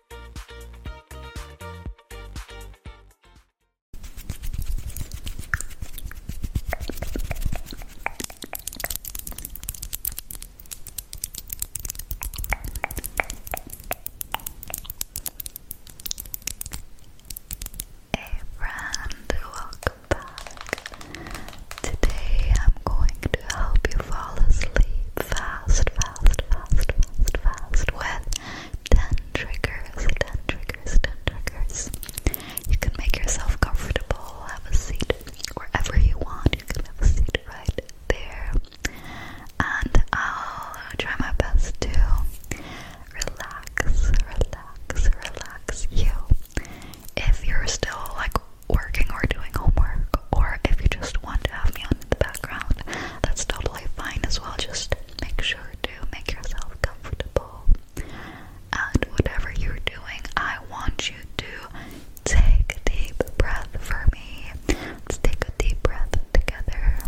Hey friend, welcome back. Today I'm going to help you fall asleep fast, fast, fast, fast, fast with 10 triggers, 10 triggers, 10 triggers. You can make yourself comfortable, have a seat wherever you want. You can have a seat right there. And I'll try my best to relax, relax, relax you. If you're still like working or doing homework, or if you just want to have me on in the background, that's totally fine as well. Just make sure to make yourself comfortable. And whatever you're doing, I want you to take a deep breath for me. Let's take a deep breath together.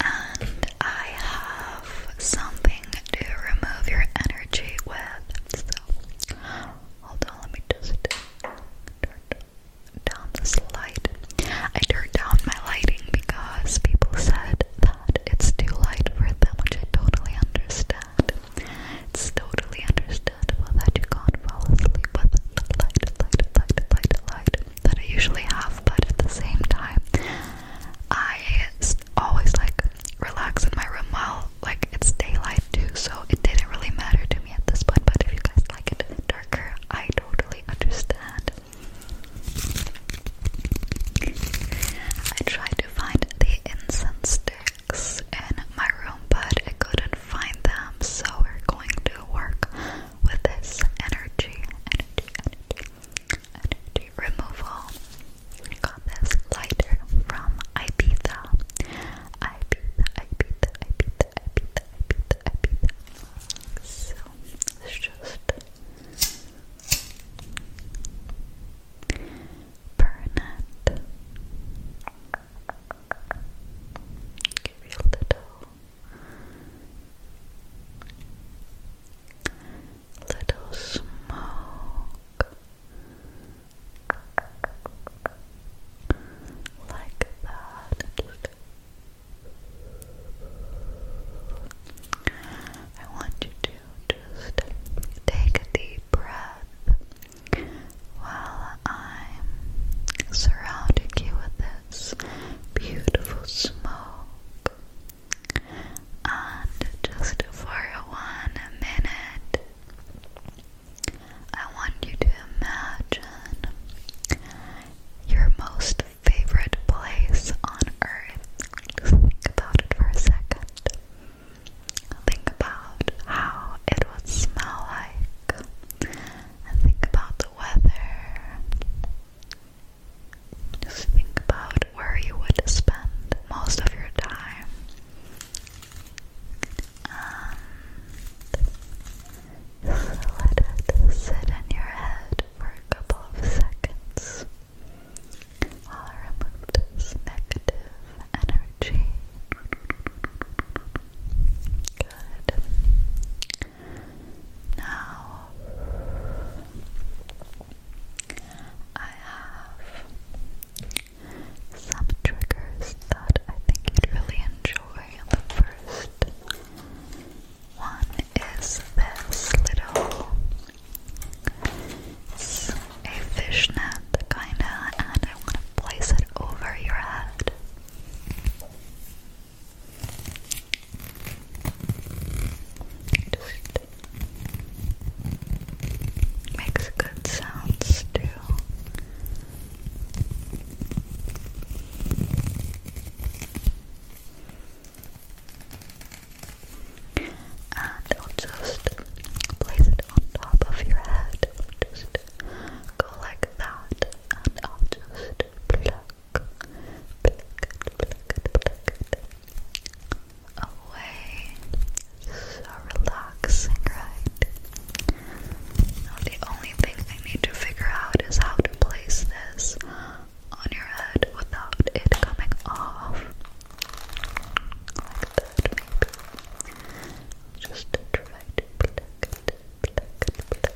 And I have something thing to remove your energy with. hold on, let me turn down this light. I turned down my lighting because people said that it's too light for them, which I totally understand. It's totally understandable that you can't fall asleep with the light, light, light, light, light that I usually have, but at the same time, I always like relax in my room while like it's daylight too, so it didn't really matter to me at this point. But if you guys like it darker, I totally understand. I tried to find the incense sticks in my room, but I couldn't find them, so we're going to work with this energy, debris removal. Got this lighter from Ibiza. Ibiza, Ibiza, Ibiza, Ibiza, Ibiza, Ibiza. So it's just burn Give you a little little smoke like that. I want you to just take a deep breath while I'm surrounding you with this beautiful smoke. And just for one minute, I want you to imagine your most favorite place on earth. think about it for a second. Think about how it would smell like, think about the weather. Just think about where you would spend most of your time. let it sit in your head for a couple of seconds. i remove this negative energy. Good. Now I have some triggers that I think you'd really enjoy. The first one is this little a fishnet kinda and I want to place it over your head. Just makes good sounds too. And I'll just place it on top of your head. Just go like that, and I'll just pluck, away. So relaxing, right? the only thing I need to figure out is how to place this on your head without it coming off. Just try to pluck it, pluck it, pluck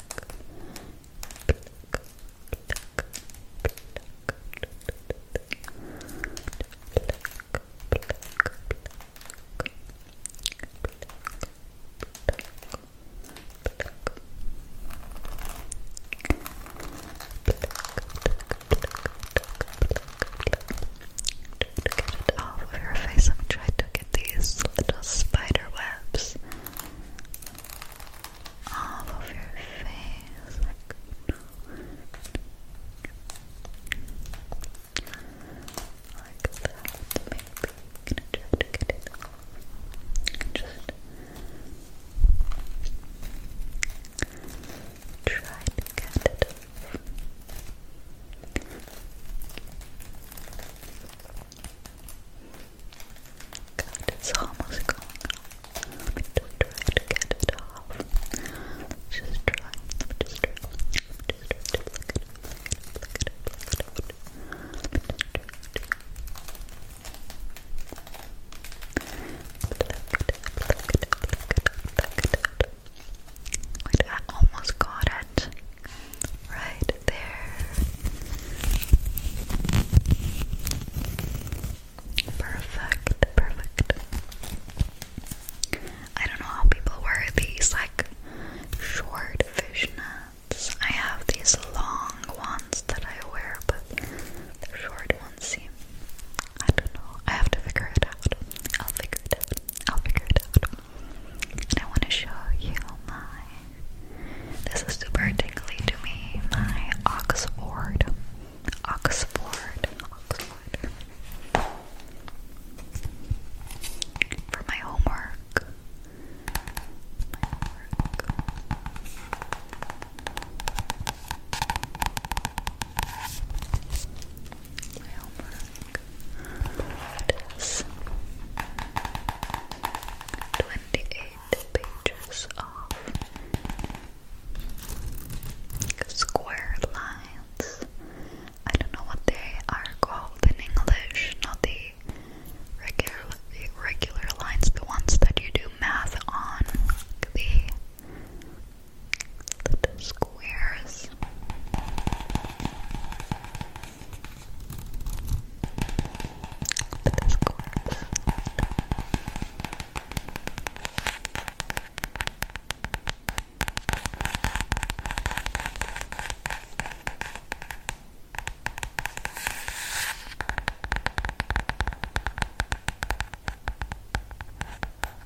Get it off of your face. I've tried to at these little spider webs all over your face. Like, like that, maybe. get it Just try to get it off it's almost gone. Let me try to get it off. Let's just try. Let me just try. Let me just try to look it up. Look it just try. I almost got it right there. Perfect, perfect. I don't know how people wear these like short fishnets. I have these long ones that I wear, but the short ones seem. I don't know. I have to figure it out. I'll figure it out. I'll figure it out. I want to show you my. This is super tingly to me. My Oxford. Oxford. Oxford. For my homework. My homework my 28 pages of square lines. I don't know what they are called in English, not the regular regular lines, the ones that you do math on little squares. Little squares.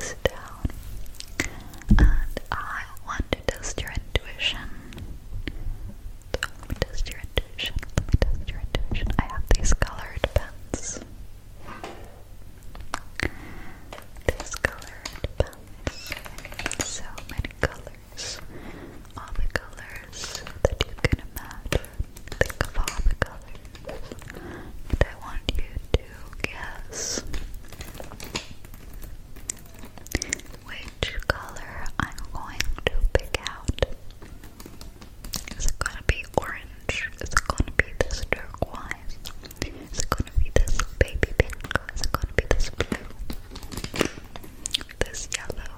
put down. And I want to test your intuition. let me test your intuition. Let me test your intuition. I have these colored pens. These colored pens. So many colors. All the colors that you can imagine. Think of all the colors. And I want you to guess which color I'm going to pick out. Is it gonna be orange? Is it gonna be this turquoise? Is it gonna be this baby pink? Is it gonna be this blue? This yellow?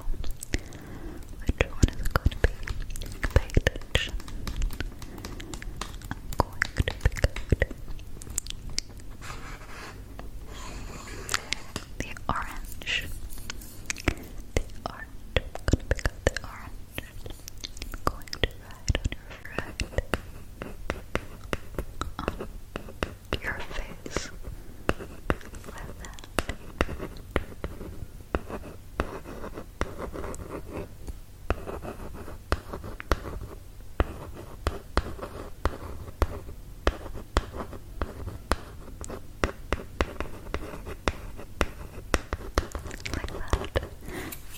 Which one is it gonna be? Pay attention going to pick out the orange. The orange. I'm going to pick out the orange. going to write on your face that.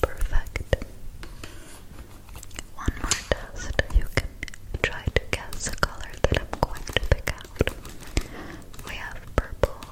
Perfect. One more test. You can try to guess the color that I'm going to pick out. We have purple,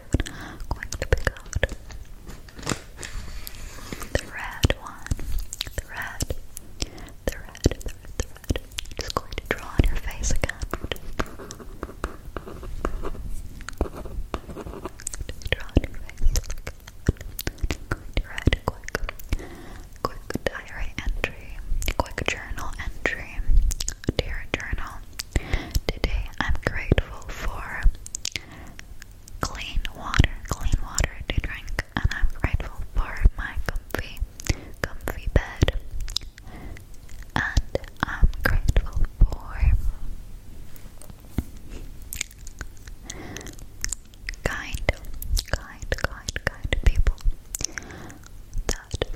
the red one, the red, the red, the red, just going to draw on your face again. Draw on your face. red, quick, quick diary entry, quick journal entry. Dear journal, today I'm grateful for clean water, clean water to drink, and I'm grateful for my comfy, comfy bed. And I'm grateful for kind, kind, kind, kind people that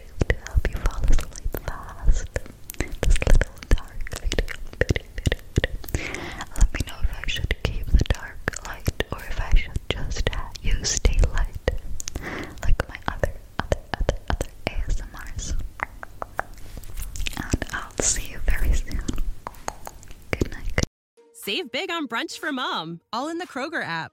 Let me know if I should keep the dark light or if I should just use daylight, like my other, other, other, other ASMRs. And I'll see you very soon. Good night. Save big on brunch for mom, all in the Kroger app.